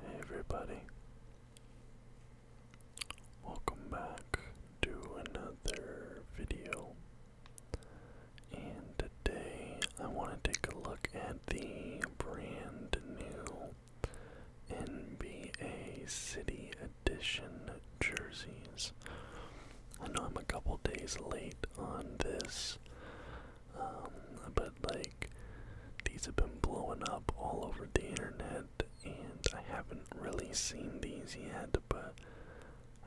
Hey everybody. Welcome back to another video. And today I want to take a look at the brand new NBA City Edition jerseys. I know I'm a couple days late on this. Um, but like these have been blowing up all over the internet, and I haven't really seen these yet, but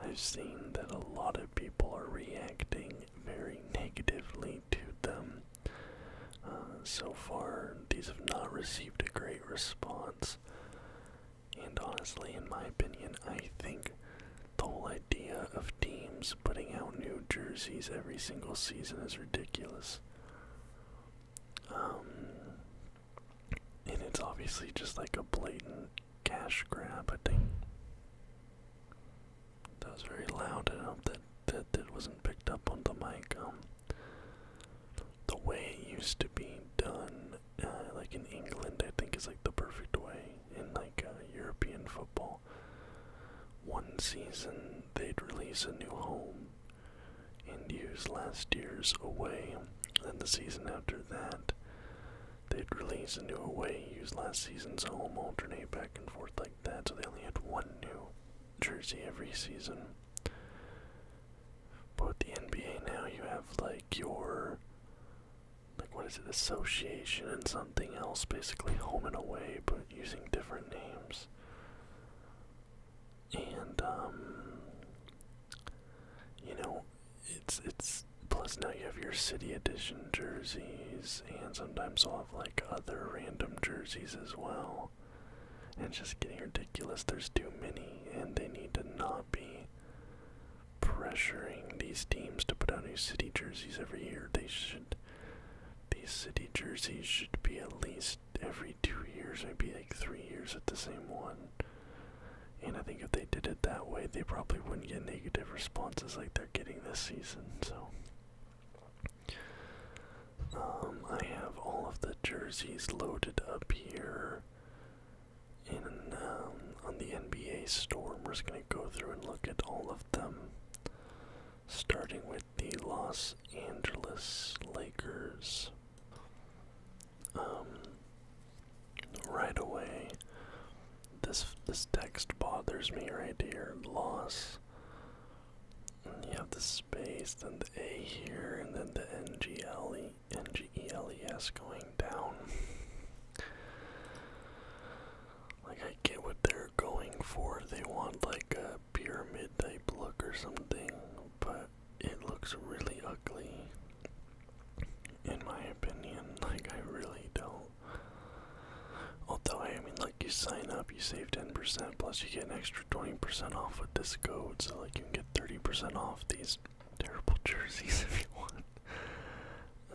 I've seen that a lot of people are reacting very negatively to them. Uh, so far, these have not received a great response. And honestly, in my opinion, I think the whole idea of teams putting out new jerseys every single season is ridiculous. Um, and it's obviously just like a blatant cash grab, I think. That was very loud. I that that, that wasn't picked up on the mic. Um, the way it used to be done, uh, like in England, I think is like the perfect way in like uh, European football. One season they'd release a new home and use last year's away. Then the season after that, they'd release a new away, use last season's home, alternate back and forth like that. So they only had one new jersey every season. But with the NBA now, you have like your, like what is it, association and something else, basically home and away, but using different names. And um, you know, it's it's plus now you have your city edition jerseys and sometimes I'll have like other random jerseys as well. And it's just getting ridiculous. There's too many and they need to not be pressuring these teams to put out new city jerseys every year. They should these city jerseys should be at least every two years, maybe like three years at the same one. And I think if they did it that way, they probably wouldn't get negative responses like they're getting this season. So, um, I have all of the jerseys loaded up here. And um, on the NBA store, we're just gonna go through and look at all of them starting with the Los Angeles Lakers. Um, right away, this this text bothers me right here. Loss. And you have the space, and the A here, and then the NGLE, NGELES going down. Like, I get what they're going for. They want, like, a pyramid type look or something, but it looks really ugly, in my opinion. Like, I really don't. Although, I mean, like, you sign up, you save 10%, plus you get an extra 20% off with this code, so, like, you can get 30% off these terrible jerseys if you want.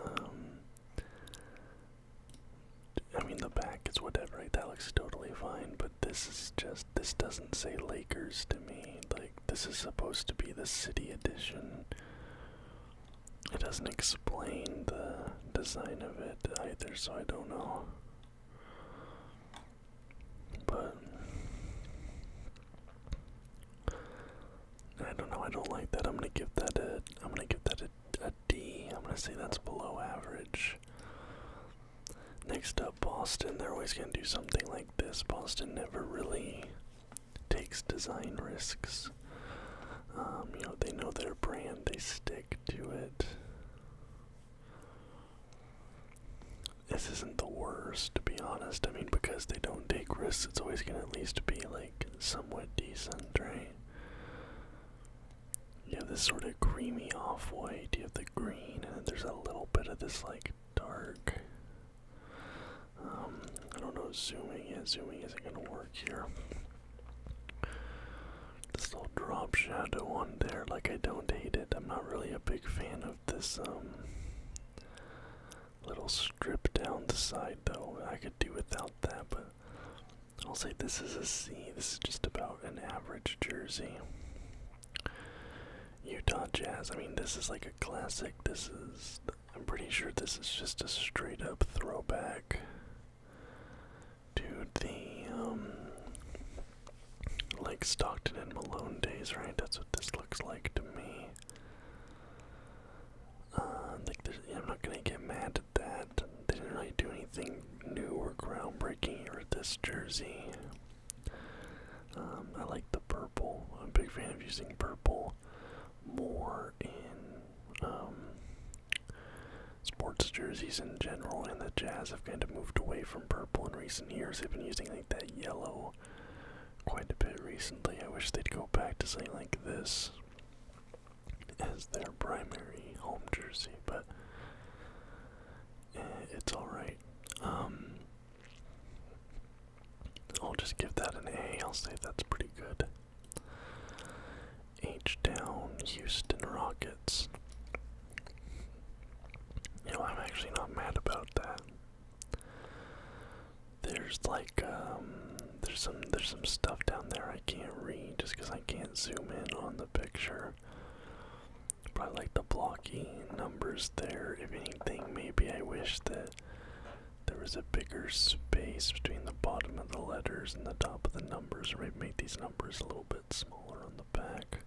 Um, I mean, the back is whatever, right? That looks totally fine, but this is just, this doesn't say Lakers to me. Like, this is supposed to be the city edition. It doesn't explain the design of it either, so I don't know. But, I don't know, I don't like that. I'm gonna give that a, I'm gonna give that a D. I'm going to say that's below average. Next up, Boston. They're always going to do something like this. Boston never really takes design risks. Um, you know, they know their brand, they stick to it. This isn't the worst, to be honest. I mean, because they don't take risks, it's always going to at least be, like, somewhat decent, right? You have this sort of creamy off white, you have the green, and then there's a little bit of this like dark. Um, I don't know, zooming in, zooming isn't gonna work here. This little drop shadow on there, like I don't hate it. I'm not really a big fan of this um little strip down the side though. I could do without that, but I'll say this is a C. This is just about an average jersey. Utah Jazz. I mean, this is like a classic. This is. I'm pretty sure this is just a straight up throwback to the, um, like Stockton and Malone days, right? That's what this looks like to me. Uh, like, I'm not gonna get mad that. didn't really do anything new or groundbreaking here with this jersey. Um, I like the purple. I'm a big fan of using purple more in um, sports jerseys in general, and the Jazz have kind of moved away from purple in recent years. They've been using like that yellow quite a bit recently. I wish they'd go back to something like this as their primary home jersey, but eh, it's alright. Um, I'll just give that an A. I'll say that's pretty good. H Town Houston Rockets. You know, I'm actually not mad about that. There's like um, there's some there's some stuff down there I can't read just because I can't zoom in on the picture. But I like the blocky numbers there. If anything, maybe I wish that there was a bigger space between the bottom of the letters and the top of the numbers, or maybe make these numbers a little bit smaller on the back.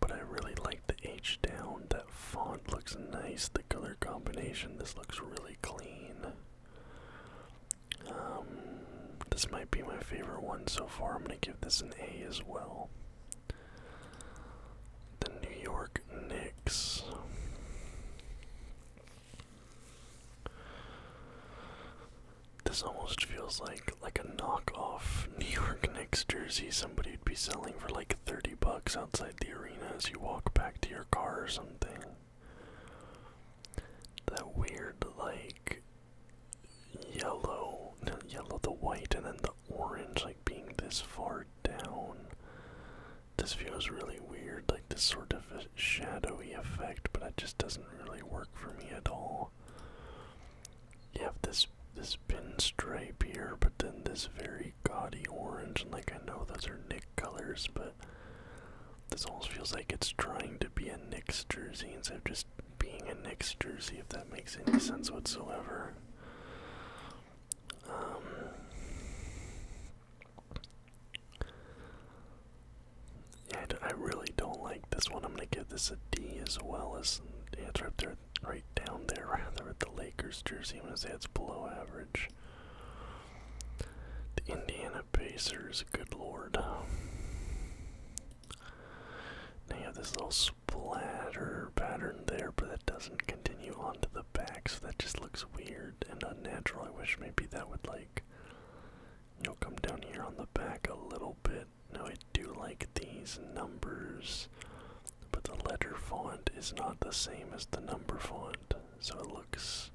But I really like the H down. That font looks nice. The color combination. This looks really clean. Um, this might be my favorite one so far. I'm going to give this an A as well. The New York Knicks. This almost feels like like a knockoff New York Knicks jersey somebody would be selling for like 30 bucks outside the arena as you walk back to your car or something. That weird, like, yellow, yellow, the white, and then the orange, like, being this far down. This view is really weird, like, this sort of a shadowy effect, but it just doesn't really work for me at all. You have this this pinstripe here, but then this very gaudy orange, and like I know those are Nick colors, but this almost feels like it's trying to be a Knicks jersey instead of just being a Knicks jersey, if that makes any sense whatsoever. yeah, um, I, really don't like this one. I'm gonna give this a D as well as yeah, it's right there, right down there, rather at the Lakers jersey. I'm gonna say it's below average. The Indiana Pacers, good lord. Now you have this little splatter pattern there, but that doesn't continue onto the back, so that just looks weird and unnatural. I wish maybe that would like you know come down here on the back a little bit. No, I do like these numbers, but the letter font is not the same as the number font, so it looks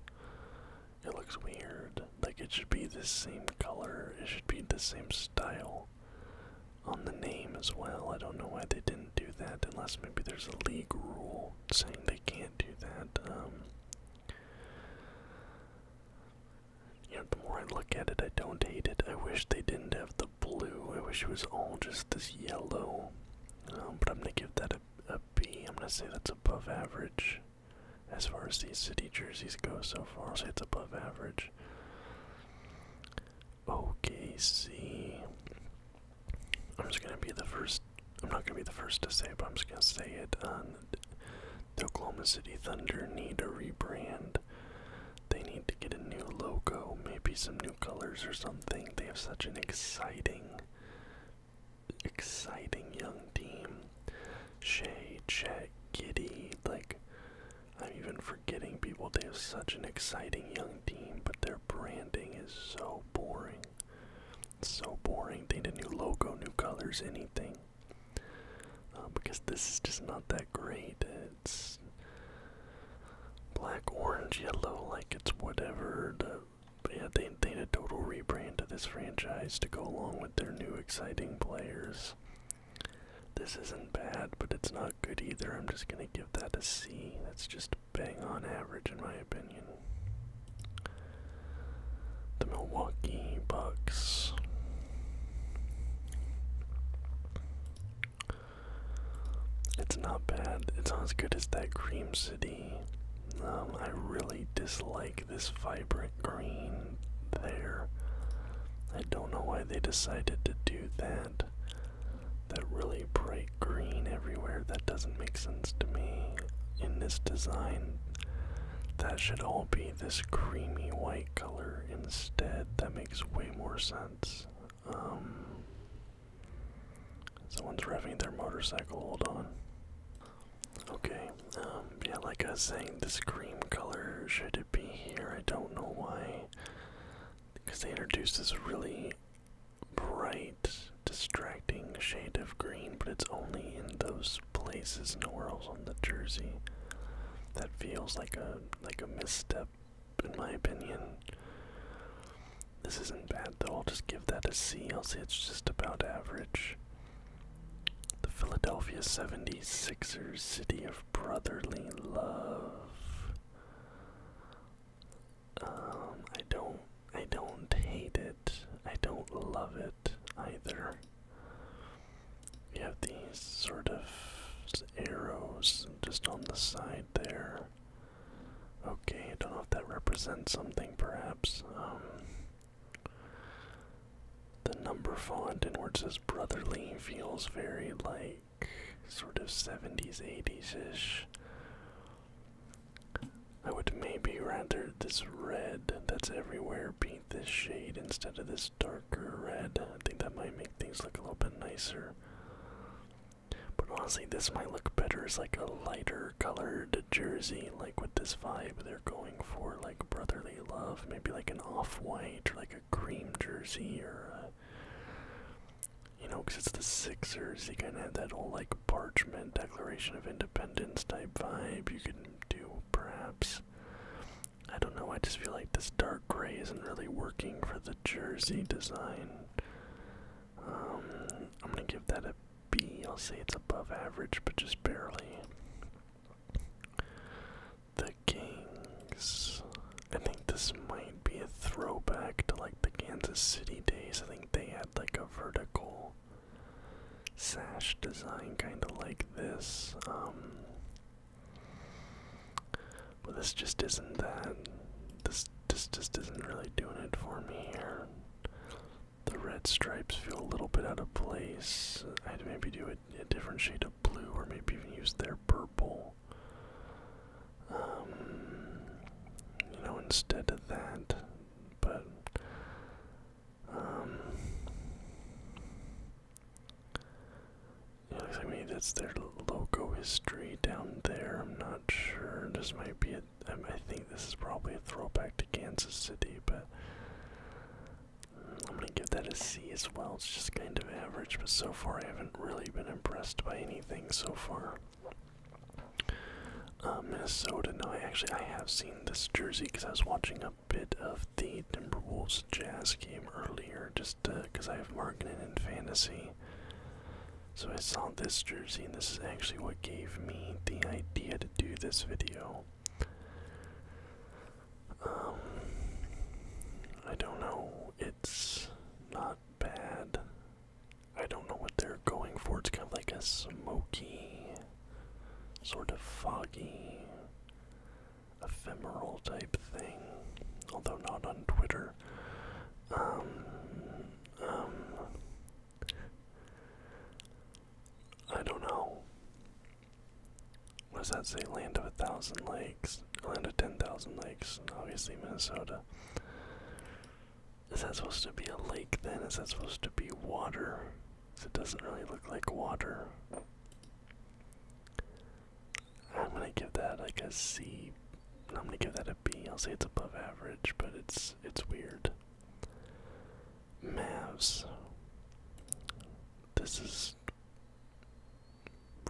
it looks weird. Like it should be the same color. It should be the same style on the name as well. I don't know why they didn't do that unless maybe there's a league rule saying they can't do that. Um, you know, the more I look at it I don't hate it. I wish they didn't have the blue. I wish it was all just this yellow. Um, but I'm gonna give that a a B. I'm gonna say that's above average as far as these city jerseys go so far. So it's above average. OKC. I'm just gonna be the first. I'm not gonna be the first to say it, but I'm just gonna say it. Um, the Oklahoma City Thunder need a rebrand. They need to get a new logo, maybe some new colors or something. They have such an exciting exciting young team. Shea, Chet, Giddy, like I'm even forgetting people. They have such an exciting young team, but their branding is so boring. so boring. They need a new logo, new colors, anything. Um, because this is just not that great. It's black, orange, yellow, like it's whatever. The, yeah, they, they need a total rebrand to this franchise to go along with with their new exciting players. This isn't bad, but it's not good either. I'm just going to give that a C. That's just bang on average, in my opinion. The Milwaukee Bucks. It's not bad. It's not as good as that Cream City um, I really dislike this vibrant green there. I don't know why they decided to do that. That really bright green everywhere, that doesn't make sense to me in this design. That should all be this creamy white color instead. That makes way more sense. Um, someone's revving their motorcycle, hold on. Okay, um, yeah, like I was saying, this green color, should be here? I don't know why. Because they introduced this really bright, distracting shade of green, but it's only in those places, nowhere else on the jersey. That feels like a like a misstep, in my opinion. This isn't bad though. I'll just give that a C. I'll say it's just about average. The Philadelphia 76ers, city of brotherly love. Um, I don't I don't hate it. I don't love it either. You have these sort of arrows just on the side there. Okay, I don't know if that represents something perhaps. Um, the number font in words, it brotherly feels very like sort of 70s, 80s ish. I would maybe render this red that's everywhere be this shade instead of this darker red. I think that might make things look a little bit nicer. But honestly, this might look better as like a lighter colored jersey, like with this vibe there going for like brotherly love, maybe like an off-white or like a cream jersey or you know, because it's the Sixers, you kind of have that whole like parchment Declaration of Independence type vibe. You can do perhaps. I don't know. I just feel like this dark gray isn't really working for the jersey design. Um, I'm gonna give that a B. I'll say it's above average, but just barely. The Kings. I think this might be a throwback to like the Kansas City days. I think they had like a vertical sash design kind of like this. Um, but this just isn't that. This, this just isn't really doing it for me here the red stripes feel a little bit out of place. I'd maybe do a, different shade of blue or maybe even use their purple. Um, you know, instead of that, but um, looks like maybe that's their logo history down there. I'm not sure. This might be I think this is probably a throwback to Kansas City, but I'm gonna give that a C as well. It's just kind of average, but so far I haven't really been impressed by anything so far. Uh, Minnesota. No, actually I have seen this jersey because I was watching a bit of the Timberwolves Jazz game earlier, just because uh, I have marketing in fantasy. So I saw this jersey, and this is actually what gave me the idea to do this video. Um, I don't know. It's not bad. I don't know what they're going for. It's kind of like a smoky, sort of foggy, ephemeral type thing. Although not on Twitter. Um, um, I don't know. What does that say? Land of a thousand lakes. Land of ten thousand lakes. Obviously, Minnesota. Is that supposed to be a lake then? Is that supposed to be water? It doesn't really look like water. I'm gonna give that like a C. I'm gonna give that a B. I'll say it's above average, but it's it's weird. Mavs. This is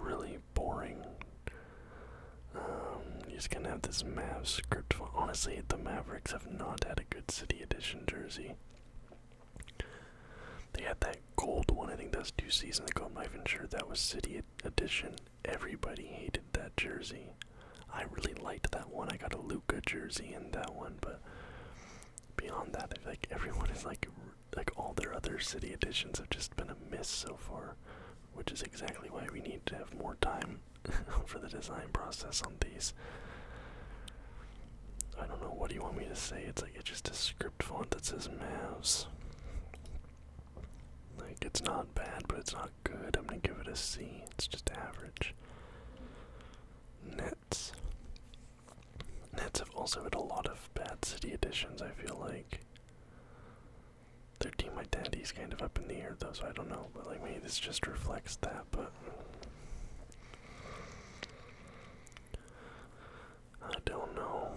really boring. Um, you just gonna have this Mavs script. Honestly, the Mavericks have not had a good City Edition jersey. They had that gold one, I think that's two seasons ago, I'm not that was City Edition. Everybody hated that jersey. I really liked that one. I got a Luca jersey and that one, but beyond that, like everyone is like like all their other city editions have just been a miss so far, which is exactly why we need to have more time for the design process on these. I don't know what do you want me to say. It's like it's just a script font that says mouse. Like it's not bad, but it's not good. I'm gonna give it a C. It's just average. Nets. have also had a lot of bad city additions, I feel like. Their team identity is kind of up in the air though, so I don't know, but like maybe this just reflects that, but I don't know.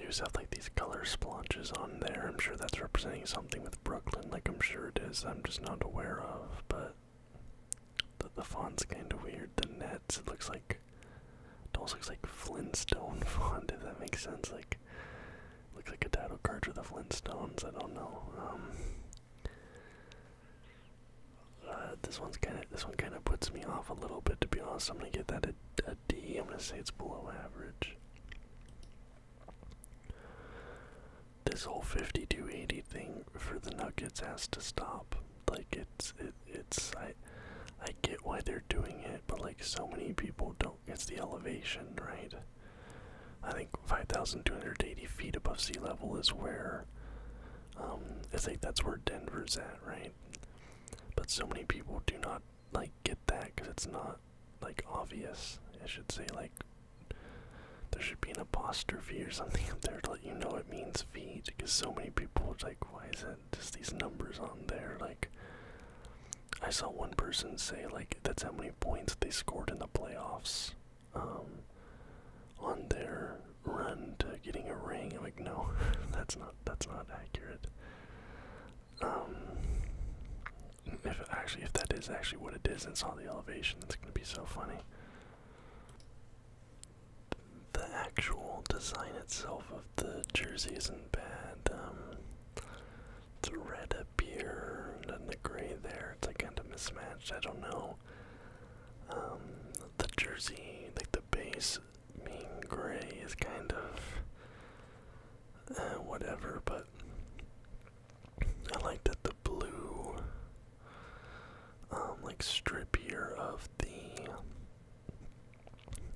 You just have like these color sponges on there. I'm sure that's representing something with Brooklyn, like I'm sure it is, I'm just not aware of, but the, the font's kind of weird. The nets, it looks like, it almost looks like Flintstone font, if that makes sense. Like, looks like a title card for the Flintstones. I don't know. Um, uh, this one's kind of this one kind of puts me off a little bit. To be honest, I'm gonna get that a, a D. I'm gonna say it's below average this whole 50 to 80 thing for the Nuggets has to stop. Like it's it, it's I I get why they're doing it, but like so many people don't. get the elevation, right? I think 5,280 feet above sea level is where um, I think that's where Denver's at, right? But so many people do not like get that because it's not like obvious. I should say like there should be an apostrophe or something up there to let you know it means feet because so many people are like why is it just these numbers on there like i saw one person say like that's how many points they scored in the playoffs um, on their run to getting a ring i'm like no that's not that's not accurate um, if actually if that is actually what it is and saw the elevation that's gonna be so funny the actual design itself of the jersey isn't bad. Um, it's a red up here and the gray there. It's like kind of mismatched. I don't know. Um, the jersey, like the base being gray, is kind of uh, whatever, but I like that the blue um, like strip here of the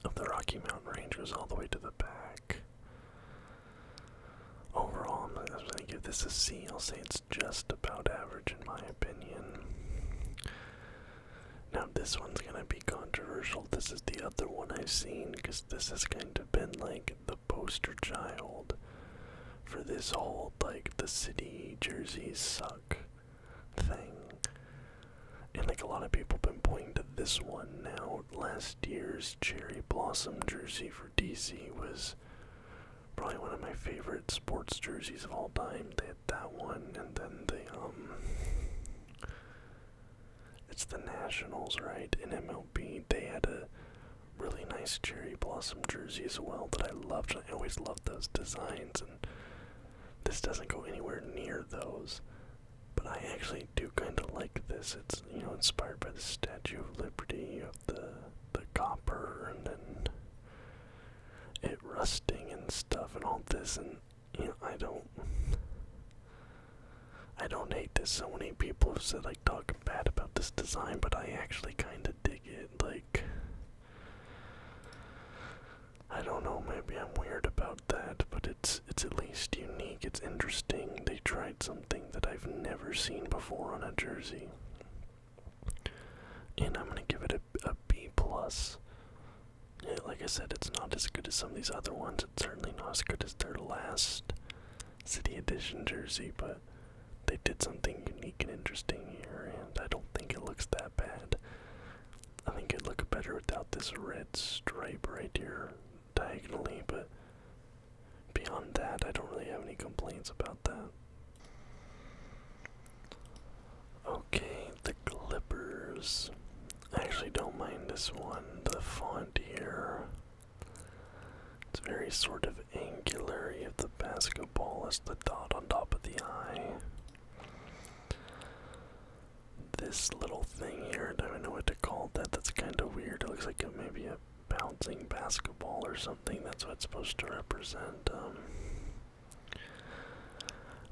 of the Rocky Mountain Rangers, all the way to the back. Overall, I'm going to give this a C. I'll say it's just about average in my opinion. Now, this one's going to be controversial. This is the other one I've seen because this has kind of been like the poster child for this whole old like the city jerseys suck thing. And like a lot of people have been pointing to this one now. Last year's cherry blossom jersey for DC was probably one of my favorite sports jerseys of all time. They had that one and then the um it's the Nationals, right? In MLB they had a really nice cherry blossom jersey as well that I loved and I always loved those designs, and this doesn't go anywhere near those. But I actually do kind of like this. It's you know inspired by the Statue of Liberty, of the the copper, and then it rusting and stuff, and all this. And you know I don't, I don't hate this. So many people have said like talk bad about this design, but I actually kind of dig it. Like I don't know, maybe I'm weird about that, but it's it's at least unique, it's interesting. They tried something that I've never seen before on a jersey. And I'm gonna give it a B plus. like I said, it's not as good as some of these other ones. It's certainly not as good as their last City Edition jersey, but they did something unique and interesting here, and I don't think it looks that bad. I think it'd look better without this red stripe right here diagonally, but beyond that, I don't really have any complaints about that. Okay, the Clippers. I actually don't mind this one. The font here. It's very sort of angular. You the basketball the dot on top of the eye. This little thing here, I don't know what to call that. That's kind of weird. It looks like maybe a bouncing basketball or something. That's what it's supposed to represent. Um.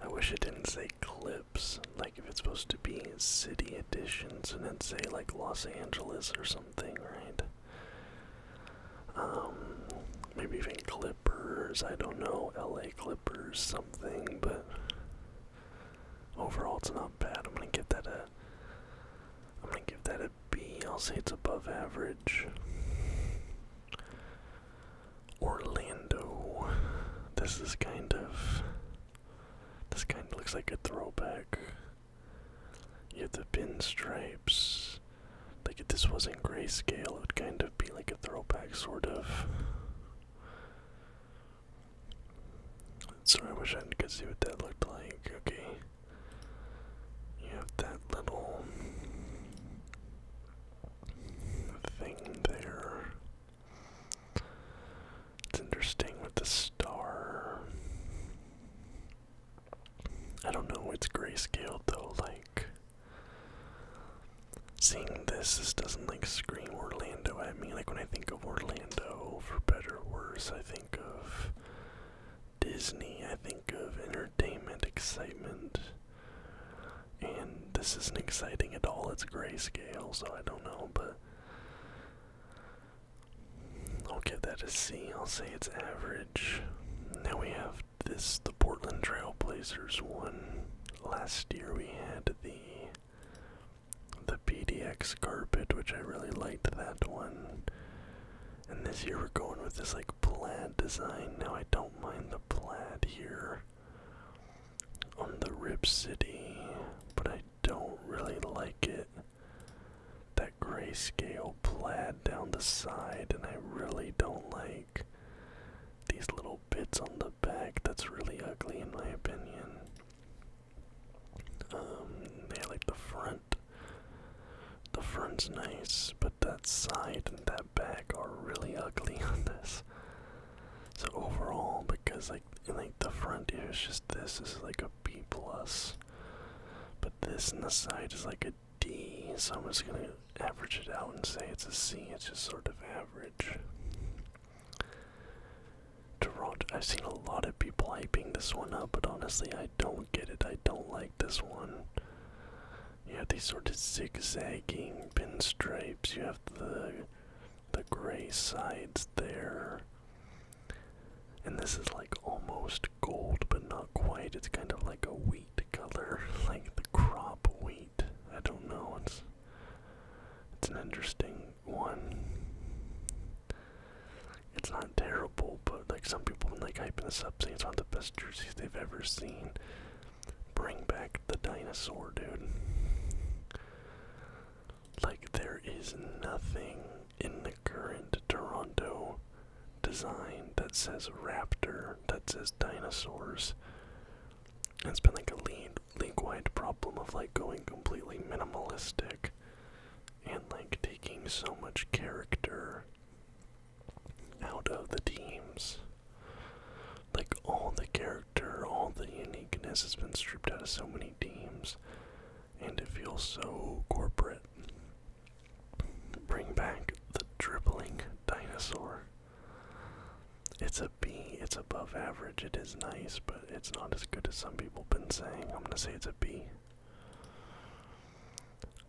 I wish it didn't say clips. Like if it's supposed to be city editions and then say like Los Angeles or something, right? Um, maybe even Clippers, I don't know, LA Clippers, something, but overall it's not bad. I'm gonna give that a I'm gonna give that a B. I'll say it's above average. Orlando. This is kind of this kind of looks like a throwback. You have the pinstripes. Like if this wasn't grayscale, it would kind of be like a throwback sort of. Sorry, I wish I could see what that looked like. Okay. You have that little thing there. It's interesting with the star. I don't know, it's grayscale though, like seeing this this doesn't like scream Orlando at me. Like when I think of Orlando, for better or worse, I think of Disney, I think of entertainment, excitement. And this isn't exciting at all, it's grayscale, so I don't know, but I'll give that a C. I'll say it's average. Now we have this, the Portland Trailblazers one. Last year we had the the PDX carpet, which I really liked that one. And this year we're going with this like plaid design. Now I don't mind the plaid here on the Rip City, but I don't really like it. That grayscale plaid down the side, and I really don't like these little bits on the back that's really ugly in my opinion. Um, yeah, like the front. The front's nice, but that side and that back are really ugly on this. So overall, because like in like the front here is just this is like a B plus, but this and the side is like a D, so I'm just gonna average it out and say it's a C, it's just sort of average. Toronto, I've seen a lot of people hyping this one up, but honestly, I don't get it. I don't like this one. You have these sort of zigzagging pinstripes. You have the the gray sides there, and this is like almost gold, but not quite. It's kind of like a wheat color, like the crop wheat. I don't know. It's it's an interesting one. It's not terrible, but like some people when like hyping this up saying it's one of the best jerseys they've ever seen. Bring back the dinosaur, dude. Like there is nothing in the current Toronto design that says raptor, that says dinosaurs. it's been like a league-wide problem of like going completely minimalistic and like taking so much character out of the teams. Like all the character, all the uniqueness has been stripped out of so many teams, and it feels so corporate. Bring back the dribbling dinosaur. It's a B, it's above average, it is nice, but it's not as good as some people have been saying. I'm gonna say it's a B.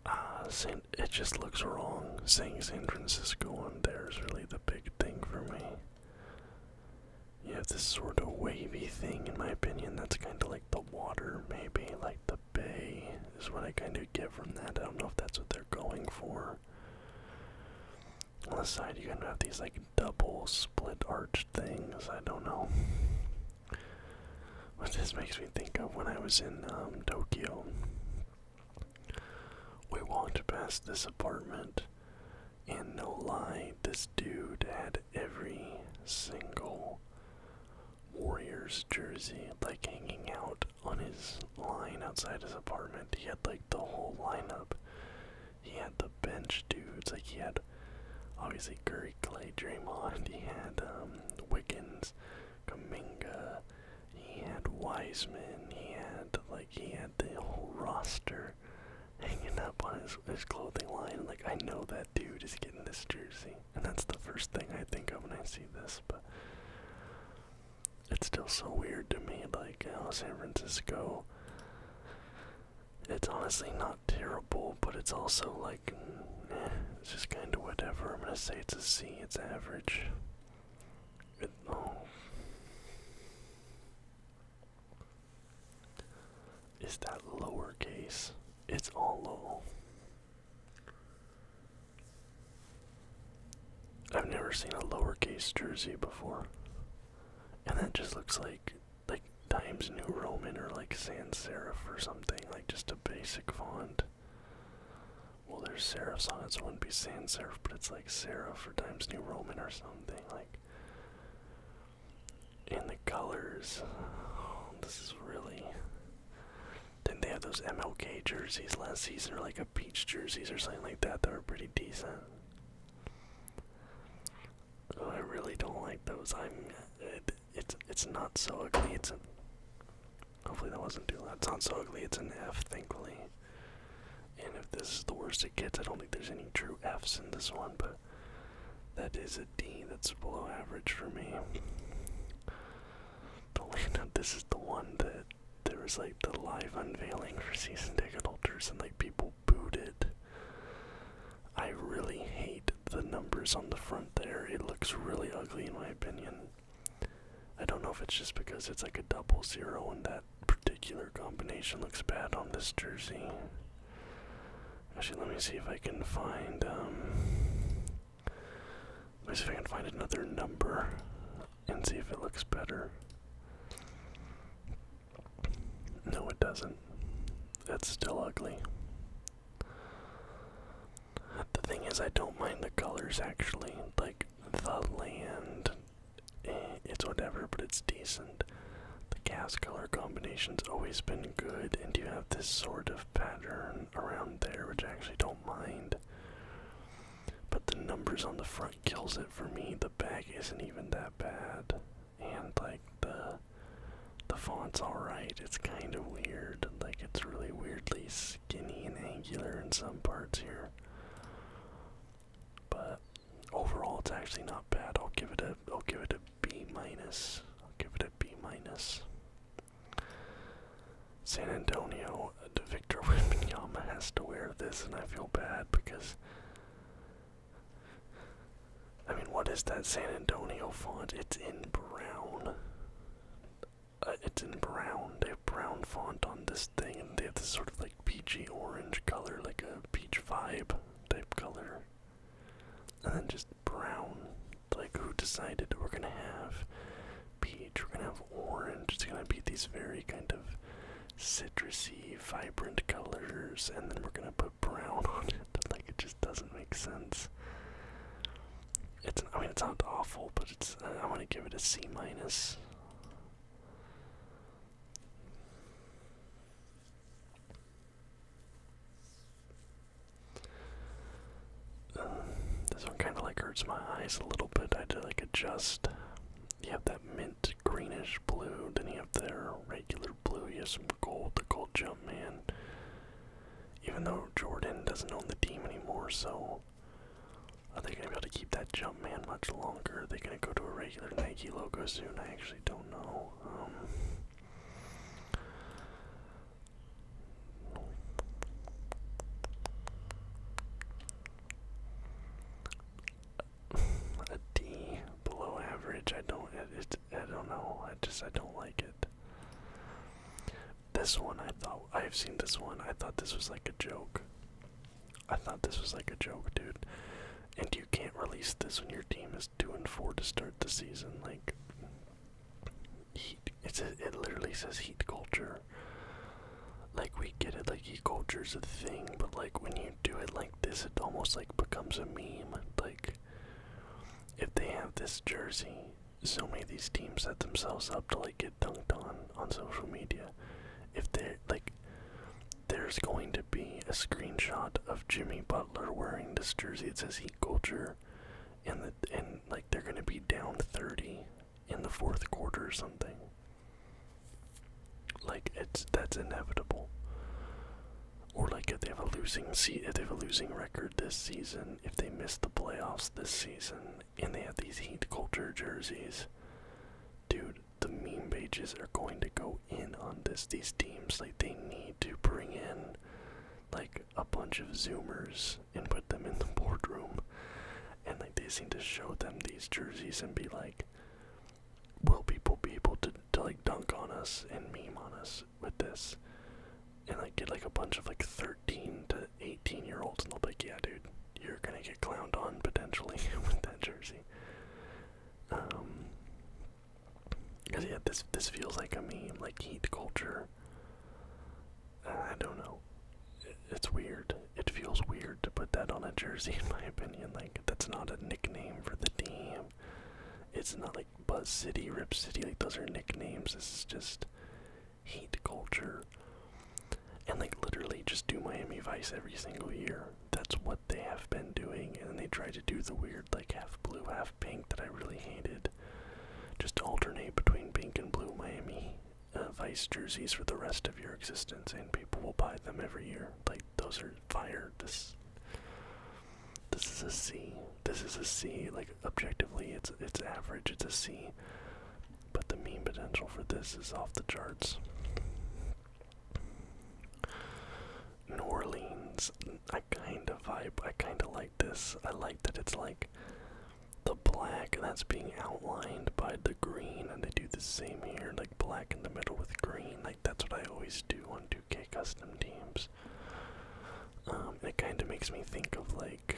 uh, San it just looks wrong. Saying San Francisco on there is really the big thing for me. You have this sort of wavy thing, in my opinion, that's kind of like the water, maybe, like the bay is what I kind of get from that. I don't know if that's what they're going for. On the side, you kind of have these like double split arch things. I don't know. What this makes me think of when I was in um, Tokyo. We walked past this apartment, and no lie, this dude had every single Warriors jersey, like hanging out on his line outside his apartment. He had like the whole lineup. He had the bench dudes, like he had obviously Curry, Clay, Draymond. He had um, Wiggins, Kaminga. He had Wiseman. He had like he had the whole roster hanging up on his his clothing line. Like I know that dude is getting this jersey, and that's the first thing I think of when I see this. But it's still so weird to me. Like, how San Francisco, it's honestly not terrible, but it's also like, eh, it's just kind of whatever. I'm gonna say it's a C, it's average. It, oh. Is that lowercase? It's all low. I've never seen a lowercase jersey before. And that just looks like like Times New Roman or like sans serif or something, like just a basic font. Well there's serifs on it, so it wouldn't be sans serif, but it's like serif for Times New Roman or something, like and the colors. Oh, this is really didn't they have those MLK jerseys last season, or like a Peach jerseys or something like that that were pretty decent? Oh, I really don't like those. I'm. it's it's not so ugly. It's. A, hopefully that wasn't too loud. It's not so ugly. It's an F, thankfully. And if this is the worst it gets, I don't think there's any true Fs in this one, but that is a D. That's below average for me. But this is the one that there was like the live unveiling for season ticket holders and like people booted. I really hate the numbers on the front there. It looks really ugly in my opinion. I don't know if it's just because it's like a double zero and that particular combination looks bad on this jersey. Actually, let me see if I can find um Let's see if I can find another number and see if it looks better. No, it doesn't. It's still ugly. The thing is, I don't mind the colors actually. Like, the land, eh, it's whatever, but it's decent. The cast color combination's always been good, and you have this sort of pattern around there, which I actually don't mind. But the numbers on the front kills it for me. The back isn't even that bad. And like the the font's alright. It's kind of weird. Like it's really weirdly skinny and angular in some parts here. But overall it's actually not bad. I'll give it a I'll give it a B minus. I'll give it a B minus. San Antonio, Victor Wembanyama has to wear this, and I feel bad because. I mean, what is that San Antonio font? It's in brown. Uh, it's in brown. They have brown font on this thing, and they have this sort of like peachy orange color, like a peach vibe type color. And then just brown. Like, who decided we're gonna have peach, we're gonna have orange. It's gonna be these very kind of citrusy, vibrant colors, and then we're gonna put brown on it. Like it just doesn't make sense. It's I mean it's not awful, but it's uh, I want to give it a C minus this one kind of like hurts my eyes a little bit. I had to like adjust. You have that mint greenish blue, then you have their regular blue. You have some gold, the gold jump man. Even though Jordan doesn't own the team anymore, so are they gonna be able to keep that jump man much longer? Are they gonna go to a regular Nike logo soon? I actually don't know. Um, a D below average. I don't. I don't know. I just. I don't like it. This one, I thought. I've seen this one. I thought this was like a joke. I thought this was like a joke, dude. And you can't release this when your team is two and four to start the season. Like, it says it literally says heat culture. Like we get it, like heat culture's a thing, but like when you do it like this, it almost like becomes a meme. Like if they have this jersey, so many these teams set themselves up to like get dunked on on social media. If they like, there's going to be a screenshot of Jimmy Butler wearing this jersey. It says heat culture. And and like they're gonna be down 30 in the fourth quarter or something. Like it's that's inevitable. Or like if they have a losing se if they have a losing record this season, if they miss the playoffs this season, and they have these heat culture jerseys, dude, the meme pages are going to go in on this. These teams like they need to bring in like a bunch of zoomers and put them in the boardroom. And like they seem to show them these jerseys and be like, will people be able to, to like dunk on us and meme on us with this? And like get like a bunch of like 13 to 18 year olds and they'll be like, yeah, dude, you're gonna get clowned on potentially with that jersey. Um, cause yeah, this this feels like a meme, like heat culture I don't know. It's weird. It feels weird to put that on a jersey, in my opinion. Like, that's not a nickname for the team. It's not like Buzz City, Rip City. Like, those are nicknames. This is just hate culture. And, like, literally just do Miami Vice every single year. That's what they have been doing. And then they try to do the weird, like, half blue, half pink that I really hated. Just alternate between pink and blue Miami uh, Vice jerseys for the rest of your existence, and people will buy them every year. Like those are fire. This, this is a C. This is a C. Like objectively, it's it's average. It's a C. But the mean potential for this is off the charts. New Orleans, I kind of vibe. I kind of like this. I like that it's like the black that's being outlined by the green, and they do the same here, like black in the middle with green. Like that's what I always do on 2K custom teams. Um, it kind of makes me think of like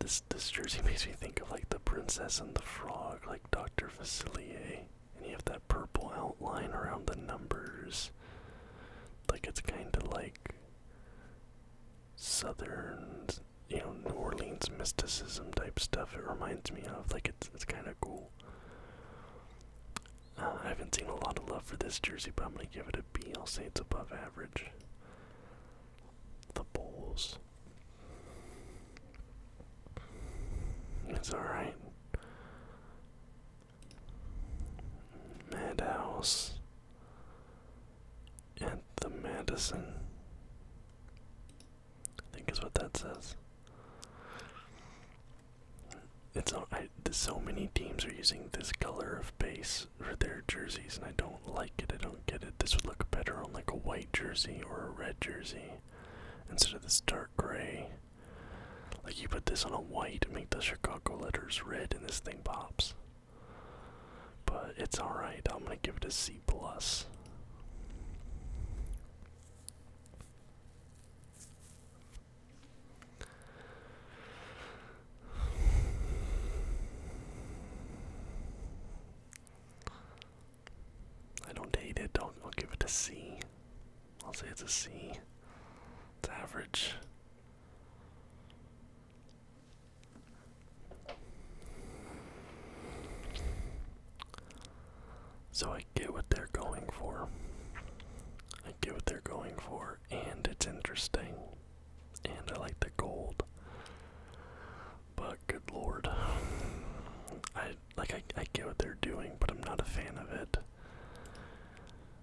this. This jersey makes me think of like the Princess and the Frog, like Dr. Facilier, and you have that purple outline around the numbers. Like it's kind of like southern, you know, New Orleans mysticism type stuff. It reminds me of like it's it's kind of cool. Uh, I haven't seen a lot of love for this jersey, but I'm gonna give it a B. I'll say it's above average. The Bulls. It's alright. Madhouse at the Madison. I think is what that says. It's all, so many teams are using this color of base for their jerseys, and I don't like it. I don't get it. This would look better on like a white jersey or a red jersey instead of this dark gray. Like you put this on a white, and make the Chicago letters red, and this thing pops. But it's alright, I'm gonna give it a C plus. I don't hate it, I'll, I'll give it a C. I'll say it's a C. It's average. So I get what they're going for. I get what they're going for, and it's interesting. And I like the gold. But good lord. I like I, I get what they're doing, but I'm not a fan of it.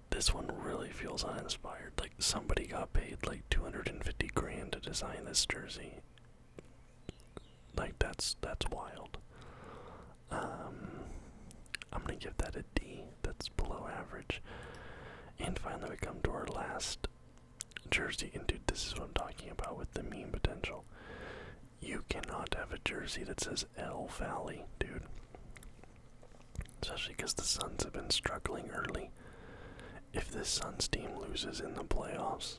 This one really feels uninspired. Like somebody got paid like 250 grand to design this jersey. Like that's that's wild. Um, I'm gonna give that a D. That's below average. And finally, we come to our last jersey. And dude, this is what I'm talking about with the meme potential. You cannot have a jersey that says L Valley, dude. Especially because the Suns have been struggling early. If the Suns team loses in the playoffs,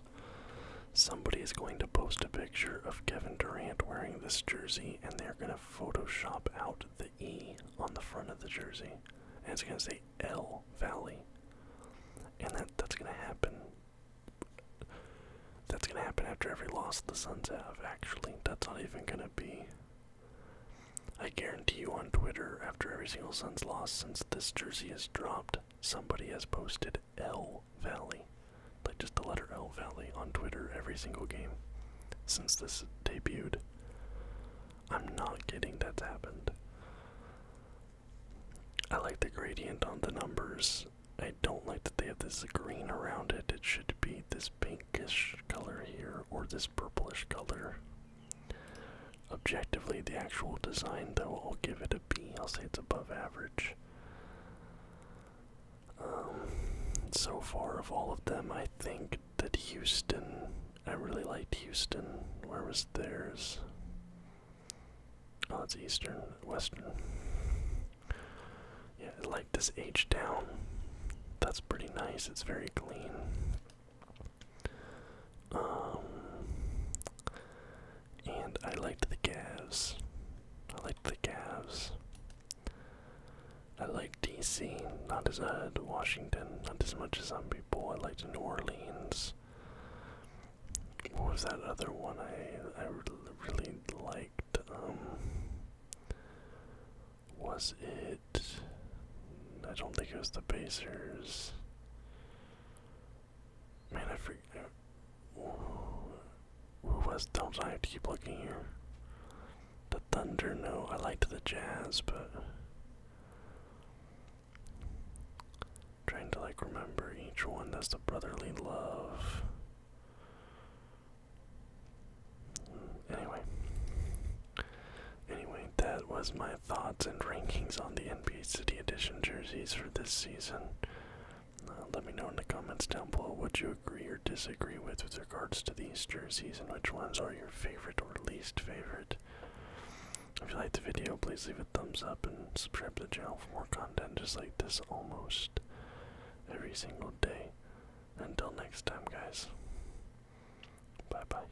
somebody is going to post a picture of Kevin Durant wearing this jersey and they're going to Photoshop out the E on the front of the jersey. And it's going to say L Valley. And that, that's going to happen. That's going to happen after every loss the Suns have, actually. That's not even going to be. I guarantee you on Twitter, after every single Suns loss since this jersey has dropped, somebody has posted L Valley, like just the letter L Valley, on Twitter every single game since this debuted. I'm not getting that's happened. I like the gradient on the numbers. I don't like that they have this green around it. It should be this pinkish color here or this purplish color. Objectively, the actual design, though, I'll give it a B. I'll say it's above average. Um, so far, of all of them, I think that Houston, I really liked Houston. Where was theirs? Oh, it's Eastern, Western. Yeah, I liked this H down. That's pretty nice. It's very clean. Um, and I liked the Cavs. I liked the Cavs. I liked DC, not as I liked Washington, not as much as some people. I liked New Orleans. What was that other one I, I really liked? Um, was it I don't think it was the Pacers. Man, I forget. Who was Thumbs? I have to keep looking here. The Thunder, no. I liked the Jazz, but. trying to, like, remember each one. That's the brotherly love. Anyway. Anyway, that was my thoughts and rankings on the NBA City Edition jerseys for this season. Uh, let me know in the comments down below what you agree or disagree with with regards to these jerseys and which ones are your favorite or least favorite. If you liked the video, please leave a thumbs up and subscribe to the channel for more content just like this almost every single day. Until next time, guys. Bye bye.